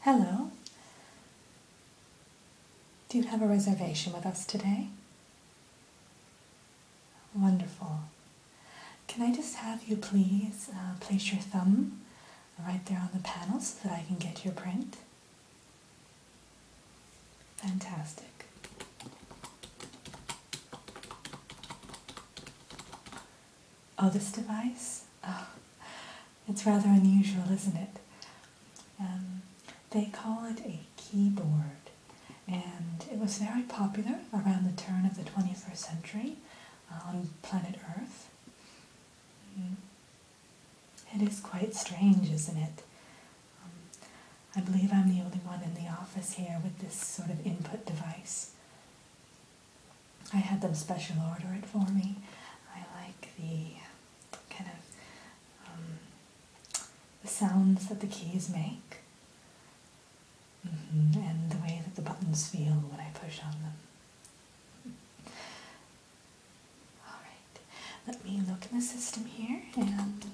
Hello. Do you have a reservation with us today? Wonderful. Can I just have you please uh, place your thumb right there on the panel so that I can get your print? Fantastic. Oh, this device? Oh, it's rather unusual, isn't it? Um, they call it a keyboard, and it was very popular around the turn of the 21st century on planet Earth. Mm. It is quite strange, isn't it? Um, I believe I'm the only one in the office here with this sort of input device. I had them special order it for me. I like the kind of um, the sounds that the keys make mm-hmm. and the way that the buttons feel when I push on them. Alright, let me look in the system here and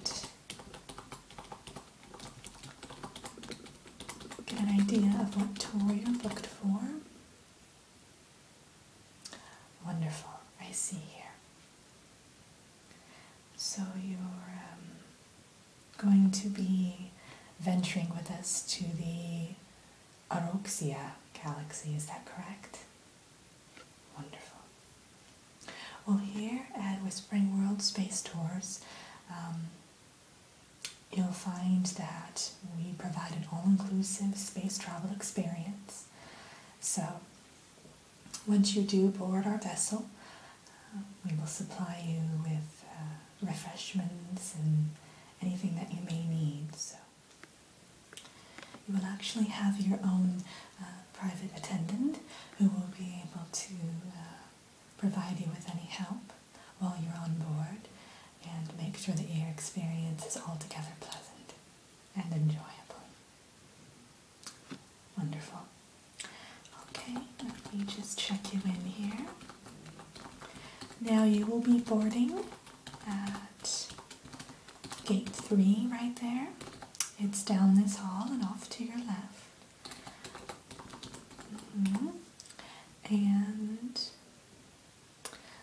Get an idea of what toy you looked for. Wonderful, I see here. So you're um, going to be venturing with us to the Aroxia galaxy, is that correct? Wonderful. Well, here at Whispering World Space Tours, um, you'll find that we provide an all-inclusive space travel experience. So once you do board our vessel, uh, we will supply you with uh, refreshments and anything that you may need. So you will actually have your own uh, private attendant who will be able to provide you with any help while you're on board and make sure that your experience is altogether pleasant and enjoyable. Wonderful. Okay, let me just check you in here. Now you will be boarding at gate three right there. It's down this hall and off to your left. Mm-hmm. And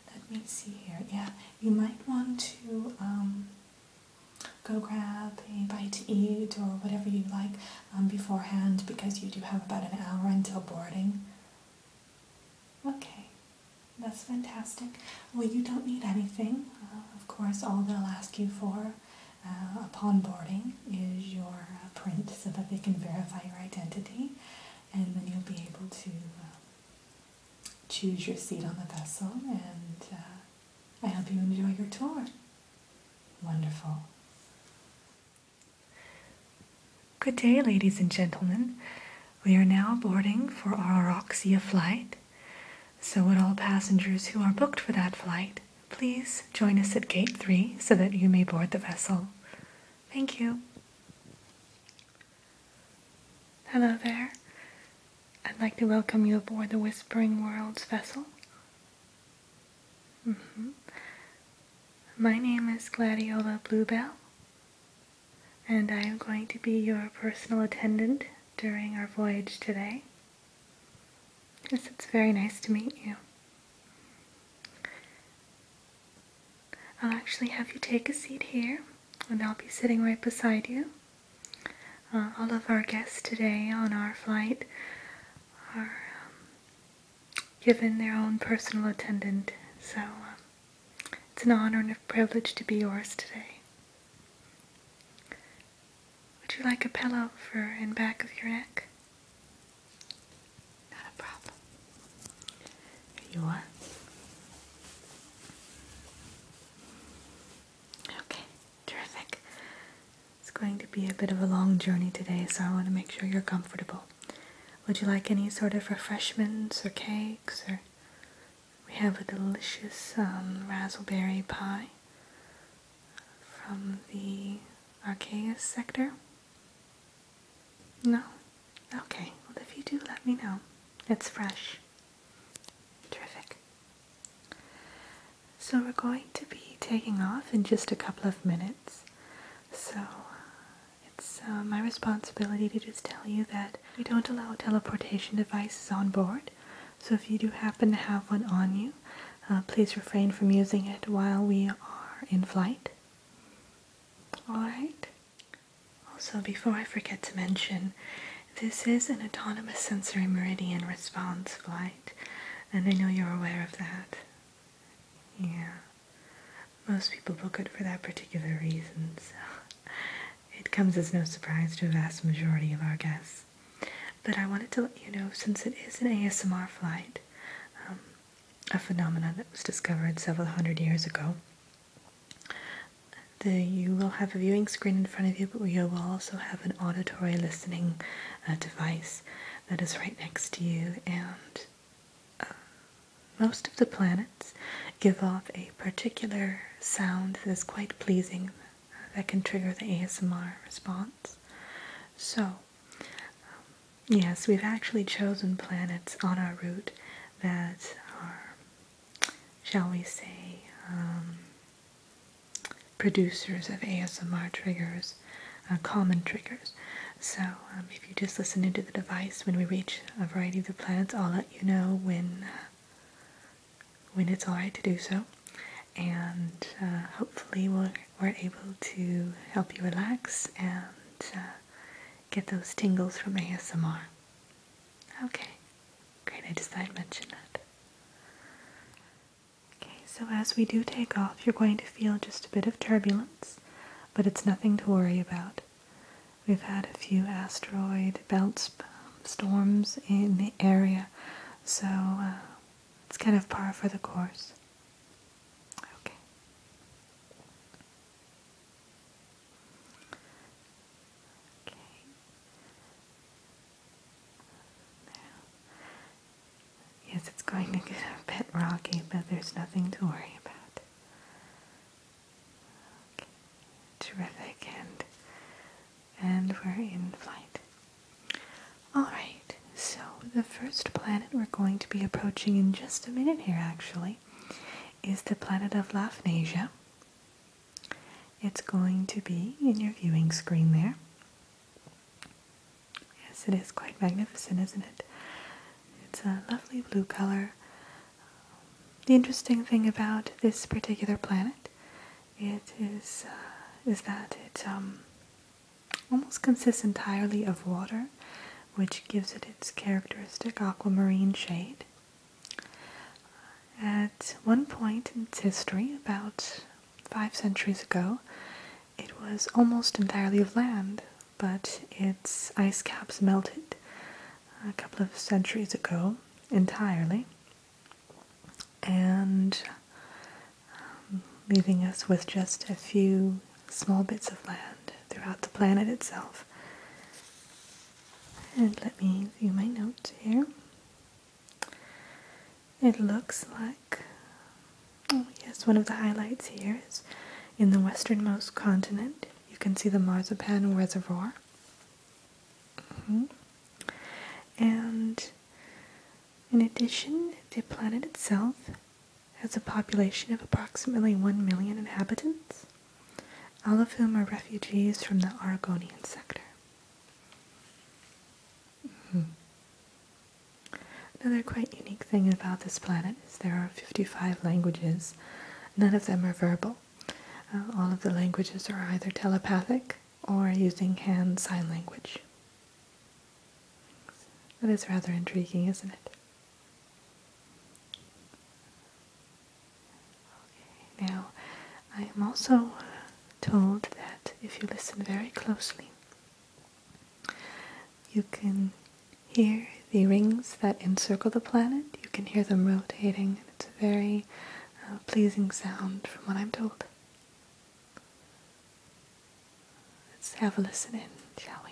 let me see here. Yeah, you might want to um, go grab a bite to eat or whatever you like um, beforehand because you do have about an hour until boarding. Okay, that's fantastic. Well, you don't need anything. Uh, of course, all they'll ask you for uh, upon boarding is your uh, print so that they can verify your identity and then you'll be able to uh, choose your seat on the vessel and I hope you enjoy your tour. Wonderful. Good day, ladies and gentlemen. We are now boarding for our Roxia flight. So would all passengers who are booked for that flight. Please join us at gate 3 so that you may board the vessel. Thank you. Hello there. I'd like to welcome you aboard the Whispering Worlds vessel. Mm-hmm. My name is Gladiola Bluebell, and I am going to be your personal attendant during our voyage today. Yes, it's very nice to meet you. I'll actually have you take a seat here, and I'll be sitting right beside you. Uh, all of our guests today on our flight are um, given their own personal attendant, so um, it's an honor and a privilege to be yours today. Would you like a pillow for in back of your neck? Not a problem. you are. Okay, terrific. It's going to be a bit of a long journey today, so I want to make sure you're comfortable. Would you like any sort of refreshments or cakes? Or we have a delicious um, raspberry pie from the Archaeus sector? No? Okay, well if you do let me know. It's fresh. Terrific. So we're going to be taking off in just a couple of minutes. So it's uh, my responsibility to just tell you that we don't allow teleportation devices on board. So if you do happen to have one on you, uh, please refrain from using it while we are in flight. Alright? Also, before I forget to mention, this is an autonomous sensory meridian response flight, and I know you're aware of that. Yeah. Most people book it for that particular reason, so it comes as no surprise to a vast majority of our guests. But I wanted to let you know, since it is an ASMR flight, um, a phenomenon that was discovered several hundred years ago, the, you will have a viewing screen in front of you, but you will also have an auditory listening uh, device that is right next to you. And uh, most of the planets give off a particular sound that is quite pleasing that can trigger the ASMR response. So, um, yes, we've actually chosen planets on our route that are, shall we say, um, producers of ASMR triggers, uh, common triggers. So, um, if you just listen into the device when we reach a variety of the planets, I'll let you know when uh, when it's alright to do so. And uh, hopefully, we're, able to help you relax and uh, get those tingles from ASMR. Okay, great. I just didn't mention that. Okay, so as we do take off, you're going to feel just a bit of turbulence, but it's nothing to worry about. We've had a few asteroid belts storms in the area. So uh, it's kind of par for the course. Okay. yes, it's going to get a bit rocky, but there's nothing to worry about. Okay. Terrific, and and we're in flight. Alright, so the first planet we're going to be approaching in just a minute here actually is the planet of Laphnasia. It's going to be in your viewing screen there. Yes, it is quite magnificent, isn't it? It's a lovely blue color. The interesting thing about this particular planet it is uh, is that it um, almost consists entirely of water, which gives it its characteristic aquamarine shade. At one point in its history, about five centuries ago, it was almost entirely of land, but its ice caps melted a couple of centuries ago entirely, and um, leaving us with just a few small bits of land throughout the planet itself. And let me view my notes here. It looks like, oh yes, one of the highlights here is in the westernmost continent, you can see the Marzipan Reservoir. Mm-hmm. And in addition, the planet itself has a population of approximately 1 million inhabitants, all of whom are refugees from the Aragonian sector. Mm-hmm. Another quite unique thing about this planet is there are 55 languages. None of them are verbal. Uh, all of the languages are either telepathic or using hand sign language. That is rather intriguing, isn't it? Okay, now I am also told that if you listen very closely, you can hear the rings that encircle the planet. You can hear them rotating. It's very uh, pleasing sound from what I'm told. Let's have a listen in, shall we?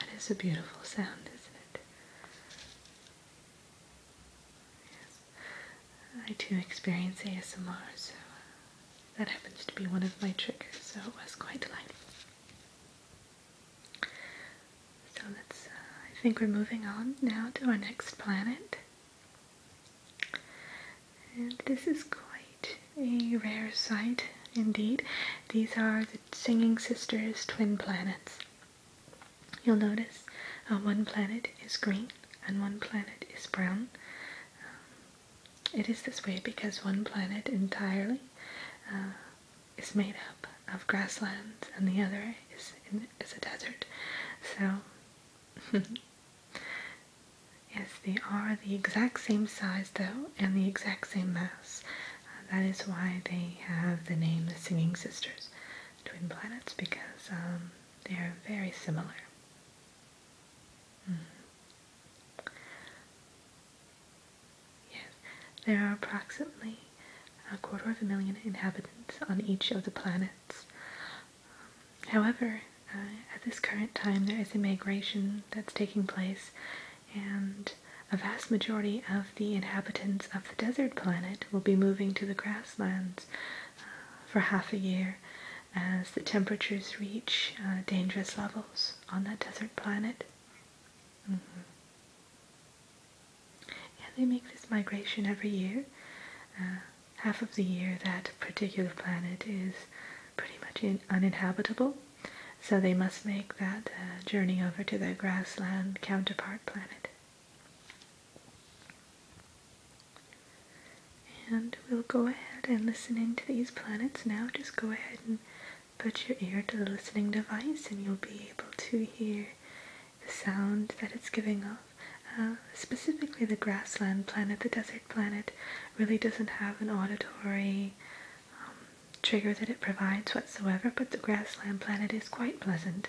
That is a beautiful sound, isn't it? I too experience ASMR, so that happens to be one of my triggers, so it was quite delightful. So let's, uh, I think we're moving on now to our next planet. And this is quite a rare sight indeed. These are the Singing Sisters twin planets. You'll notice uh, one planet is green and one planet is brown. Um, it is this way because one planet entirely uh, is made up of grasslands and the other is, is a desert. So, yes, they are the exact same size though and the exact same mass. Uh, that is why they have the name the Singing Sisters, Twin Planets, because um, they are very similar. Hmm. Yes, there are approximately a quarter of a million inhabitants on each of the planets. however, uh, at this current time, there is a migration that's taking place, and a vast majority of the inhabitants of the desert planet will be moving to the grasslands for half a year as the temperatures reach uh, dangerous levels on that desert planet. Mm Yeah, they make this migration every year. Uh, half of the year that particular planet is pretty much uninhabitable, so they must make that uh, journey over to their grassland counterpart planet. And we'll go ahead and listen into these planets now. Just go ahead and put your ear to the listening device, and you'll be able to hear the sound that it's giving off. Uh, specifically, the grassland planet, the desert planet, really doesn't have an auditory um, trigger that it provides whatsoever, but the grassland planet is quite pleasant.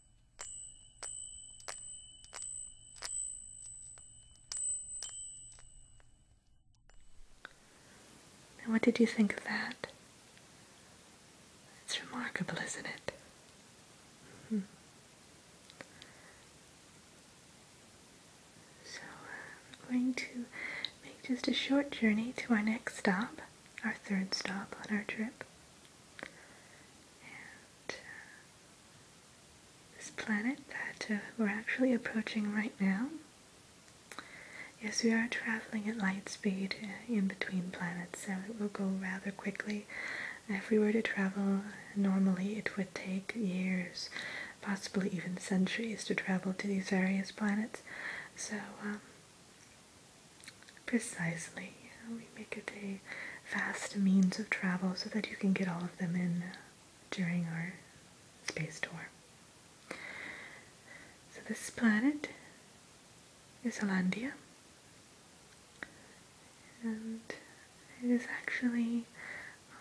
what did you think of that? It's remarkable, isn't it? Mm-hmm. So, uh, I'm going to make just a short journey to our next stop, our third stop on our trip this planet that uh, we're actually approaching right now. Yes, we are traveling at light speed uh, in between planets, so it will go rather quickly. If we were to travel normally, it would take years, possibly even centuries, to travel to these various planets. So, um, Precisely. we make it a fast means of travel so that you can get all of them in uh, during our space tour. So this planet is Hollandia. And it is actually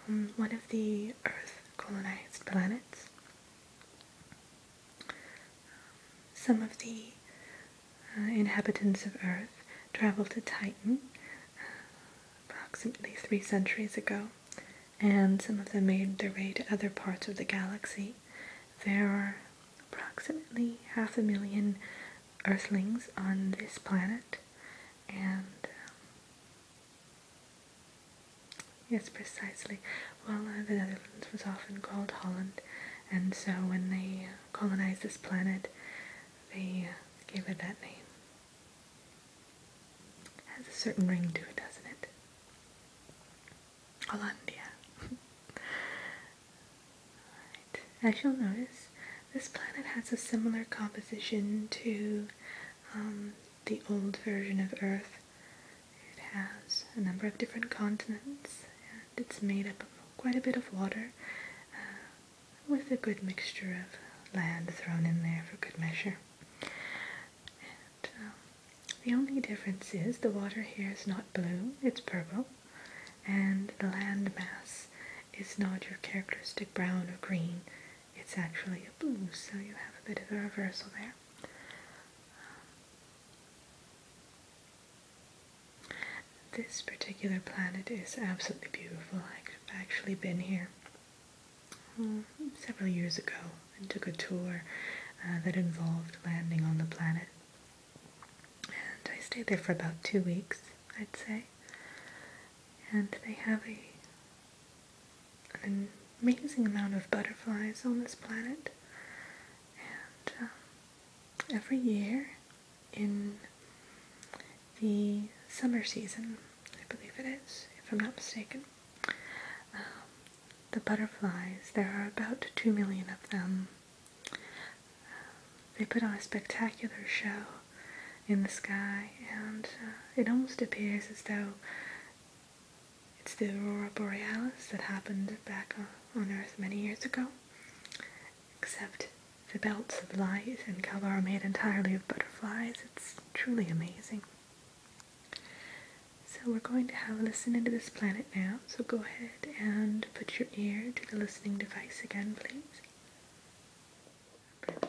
um, one of the Earth colonized planets. Some of the uh, inhabitants of Earth traveled to Titan uh, approximately three centuries ago, and some of them made their way to other parts of the galaxy. There are approximately half a million Earthlings on this planet, and um, Yes, precisely. Well, uh, the Netherlands was often called Holland, and so when they colonized this planet, they gave it that name. It has a certain ring to it, doesn't it? Hollandia. as you'll notice, this planet has a similar composition to um, the old version of Earth. It has a number of different continents it's made up of quite a bit of water uh, with a good mixture of land thrown in there for good measure. Um, the only difference is the water here is not blue, it's purple, and the land mass is not your characteristic brown or green, it's actually a blue, so you have a bit of a reversal there. This particular planet is absolutely beautiful. I've actually been here hmm, several years ago and took a tour uh, that involved landing on the planet. And I stayed there for about two weeks, I'd say. And they have a an amazing amount of butterflies on this planet. And um, every year in the summer season, I believe it is, if I'm not mistaken. Um, the butterflies, there are about two million of them. Um, they put on a spectacular show in the sky, and uh, it almost appears as though it's the aurora borealis that happened back on Earth many years ago except the belts of light and color are made entirely of butterflies. It's truly amazing. So we're going to have a listen into this planet now. So go ahead and put your ear to the listening device again, please. Okay.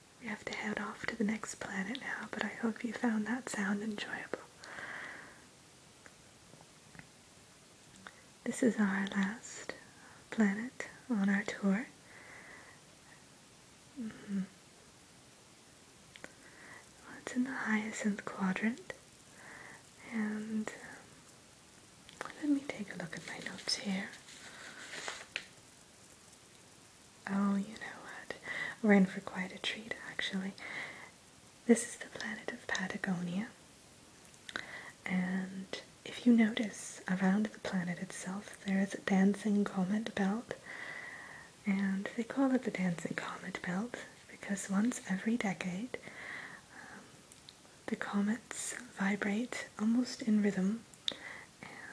We have to head off to the next planet now, but I hope you found that sound enjoyable. This is our last planet on our tour. Mm-hmm. it's in the hyacinth quadrant, and um, let me take a look at my notes here. Oh, you know what? We're in for quite a treat, actually. This is the planet of Patagonia. And if you notice, around the planet itself, there is a dancing comet belt. And they call it the dancing comet belt because once every decade, um, the comets vibrate almost in rhythm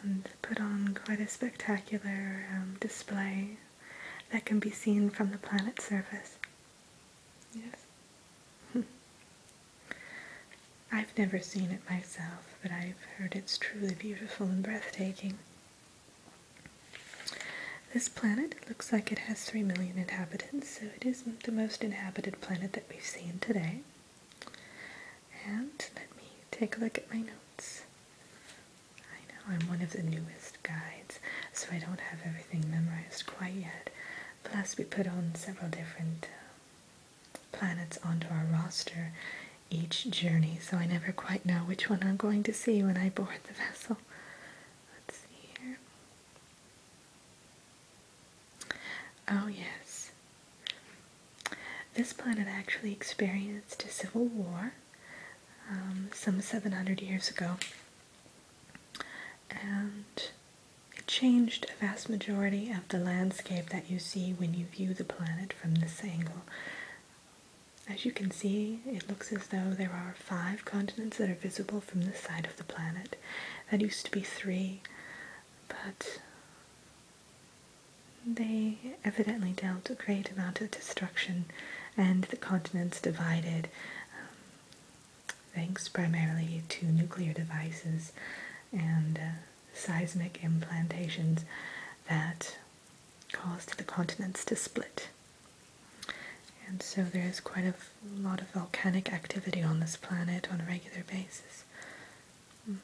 and put on quite a spectacular um, display that can be seen from the planet's surface. Yes. I've never seen it myself, but I've heard it's truly beautiful and breathtaking. This planet looks like it has 3 million inhabitants, so it is the most inhabited planet that we've seen today. And let me take a look at my notes. I know, I'm one of the newest guides, so I don't have everything memorized quite yet. Plus, we put on several different uh, planets onto our roster each journey, so I never quite know which one I'm going to see when I board the vessel. Let's see here. Oh, yes. This planet actually experienced a civil war um, some 700 years ago, and it changed a vast majority of the landscape that you see when you view the planet from this angle. As you can see, it looks as though there are five continents that are visible from this side of the planet. That used to be three, but they evidently dealt a great amount of destruction and the continents divided, um, thanks primarily to nuclear devices and uh, seismic implantations that caused the continents to split. And so there is quite a lot of volcanic activity on this planet on a regular basis. Mm-hmm.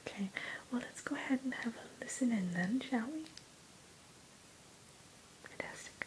Okay, well, let's go ahead and have a listen in then, shall we? Fantastic.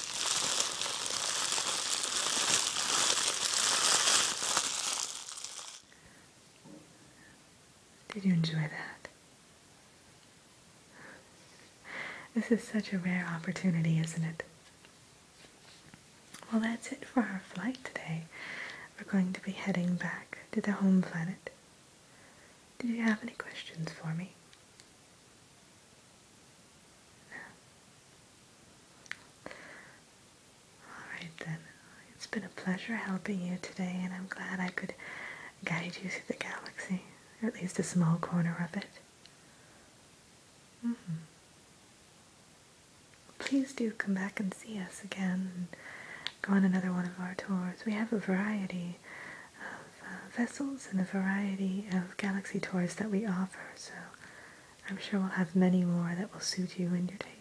Did you enjoy that? This is such a rare opportunity, isn't it? Well, that's it for our flight today. We're going to be heading back to the home planet. Did you have any questions for me? Alright then, it's been a pleasure helping you today and I'm glad I could guide you through the galaxy, or at least a small corner of it. Mm-hmm. Please do come back and see us again and go on another one of our tours. We have a variety of uh, vessels and the variety of galaxy tours that we offer. So I'm sure we'll have many more that will suit you and your taste.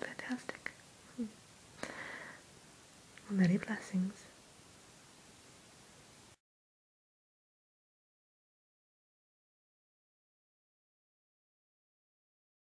Fantastic. Hmm. many blessings.